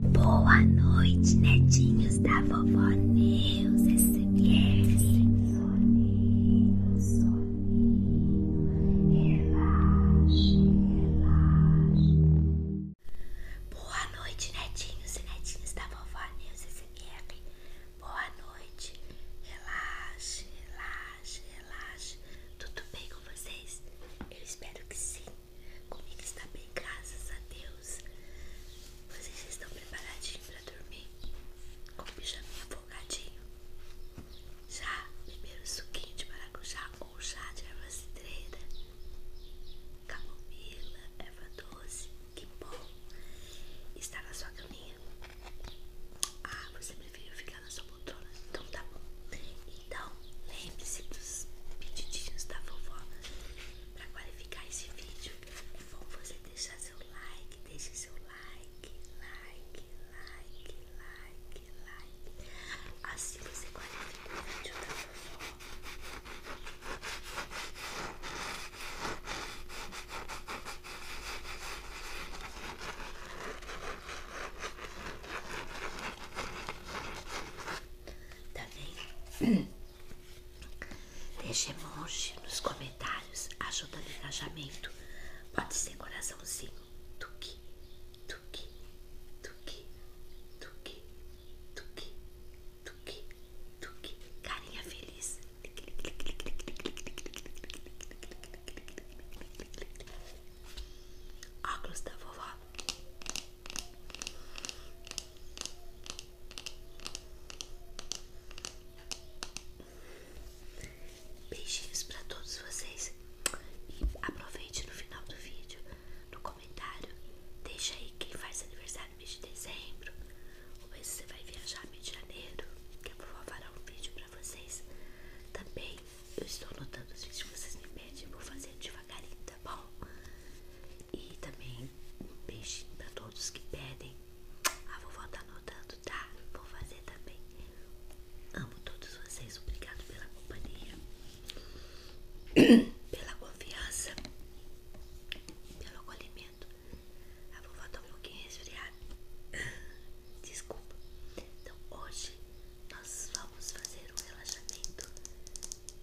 Boa noite, netinhos da vovó Neus SMR. É soninho, soninho, relaxe, relaxe. Boa noite, netinhos e netinhos da vovó Neus SMR. É Boa noite, relaxe, relaxe, relaxe. Tudo bem com vocês? Eu espero que sim. Comigo está bem, graças a Deus. Vocês estão preparadinhos para dormir? Com o pijaminha Já? Primeiro suquinho de maracujá ou chá de erva cidreira? Camomila, erva doce, que bom! Está na sua caminha? Ah, você preferiu ficar na sua poltrona? Então tá bom. Então, lembre-se dos pedidinhos da vovó. Para qualificar esse vídeo, é você deixar seu like, deixe seu like, like, like, like, like. Assim você qualifica o vídeo da vovó. Também tá deixe emoji nos comentários, ajuda no engajamento. Pode ser coraçãozinho, tuque, tuque, tuque, tuque, tuque, tuque, tuque, carinha feliz. Óculos da vovó Beijinhos para todos vocês e aproveite no final do vídeo, no comentário, deixa aí quem faz aniversário no mês de dezembro, ou se você vai viajar mês de janeiro, que eu vou fará um vídeo para vocês também eu estou notando os vídeos que vocês me pedem, vou fazer devagarinho, tá bom? E também um beijinho pra todos que pedem. A vovó tá anotando, tá? Vou fazer também. Amo todos vocês, obrigado pela companhia, pela confiança, pelo acolhimento. A vovó tá um pouquinho resfriada. Desculpa. Então hoje nós vamos fazer um relaxamento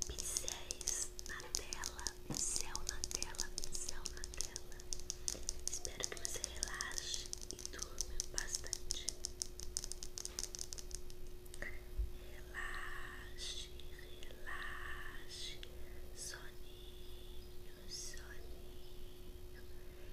pincéis na tela, céu na tela, céu na tela. Espero que você relaxe e durma bastante. Relaxe, relaxe, soninho, soninho.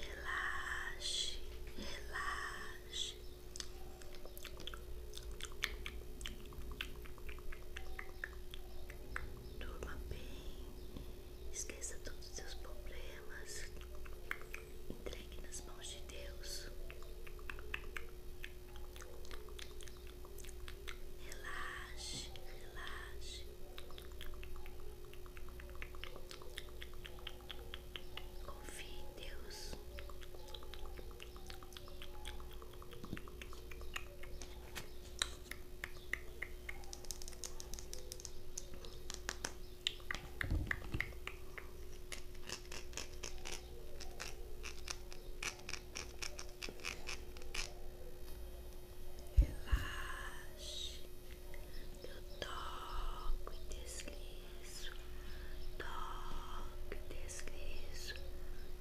Relaxe, relaxe. Durma bem, esqueça todos os seus problemas, entregue nas mãos de Deus. Relaxe, relaxe. Confie em Deus. Relaxe, eu toco e deslizo, toco e deslizo,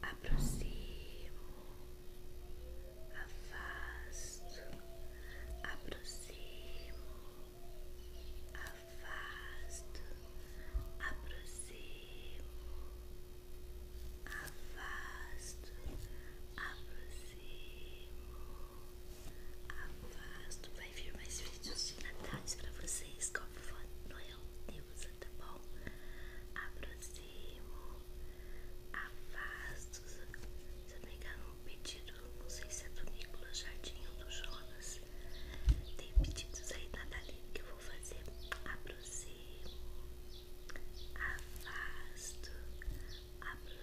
aproximo, afasto, aproximo, afasto, aproximo, afasto, aproximo. Afasto, vai vir mais vídeos de natais pra vocês com como Noel é Deusa, tá bom? Aproximo, afasto, se eu pegar um pedido, não sei se é do Nicolas Jardim ou do Jonas, tem pedidos aí natalino que eu vou fazer, aproximo, afasto, aproximo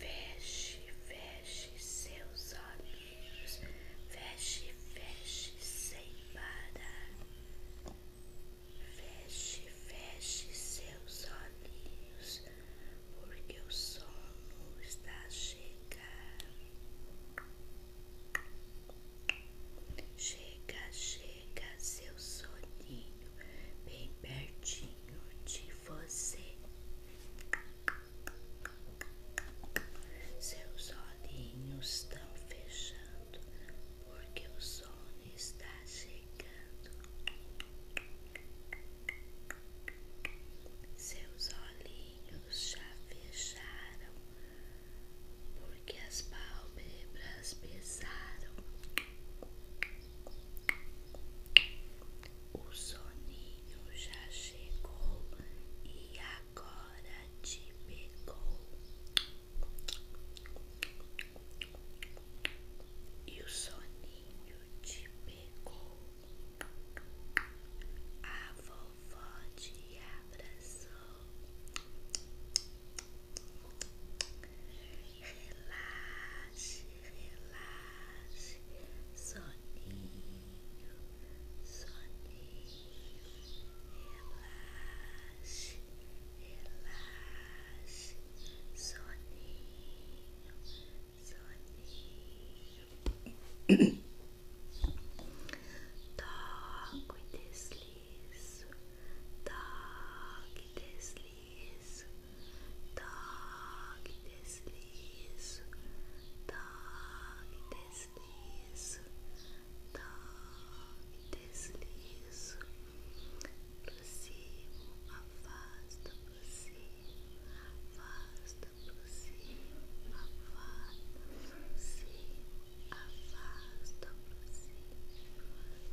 Feche, feche seus olhos. Feche, feche sem parar. Feche, feche seus olhos, porque o sono está a chegar. Chega, chega seu soninho bem pertinho de você. Seus olhinhos estão fechando porque o sono está chegando. Seus olhinhos já fecharam porque as pálpebras pesaram. O soninho já chegou e agora te pegou. E o soninho te pegou. A vovó te abraçou. Relaxe, relaxe, soninho, soninho, relaxe, relaxe, soninho, soninho. toque e deslizo, toque e deslizo. deslizo, toque, deslizo, toque, deslizo, deslizo, aproximo, afasta, aproximo, afasta, aproximo, afasta, aproximo, afasta, aproximo,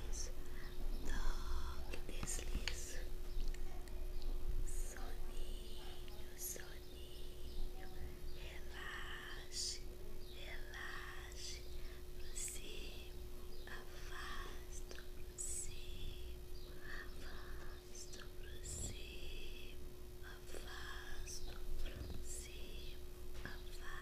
deslizo, toque, deslizo, soninho, soninho, relaxe, relaxe, aproximo, afasto, aproximo, afasto, aproximo, afasto, aproximo, afasto.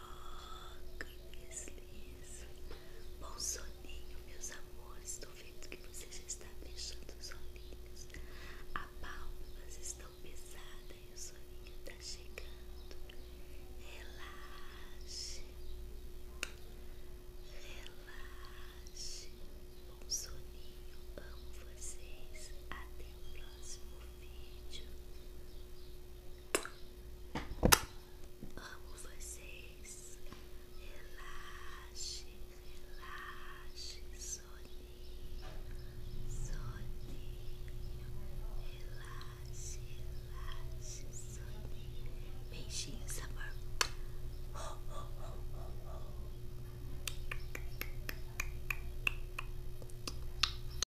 Toca e desliza. Bom soninho, meus amores. estou vendo que você já está fechando os olhinhos. A pálpebras estão pesada e o soninho está chegando. Relaxe. Relaxe. Bom soninho. Amo vocês. Até o próximo vídeo. Amo vocês. Relaxe, relaxe, soninho, soninho. Relaxe, relaxe, soninho. Beijinhos, amor. Oh,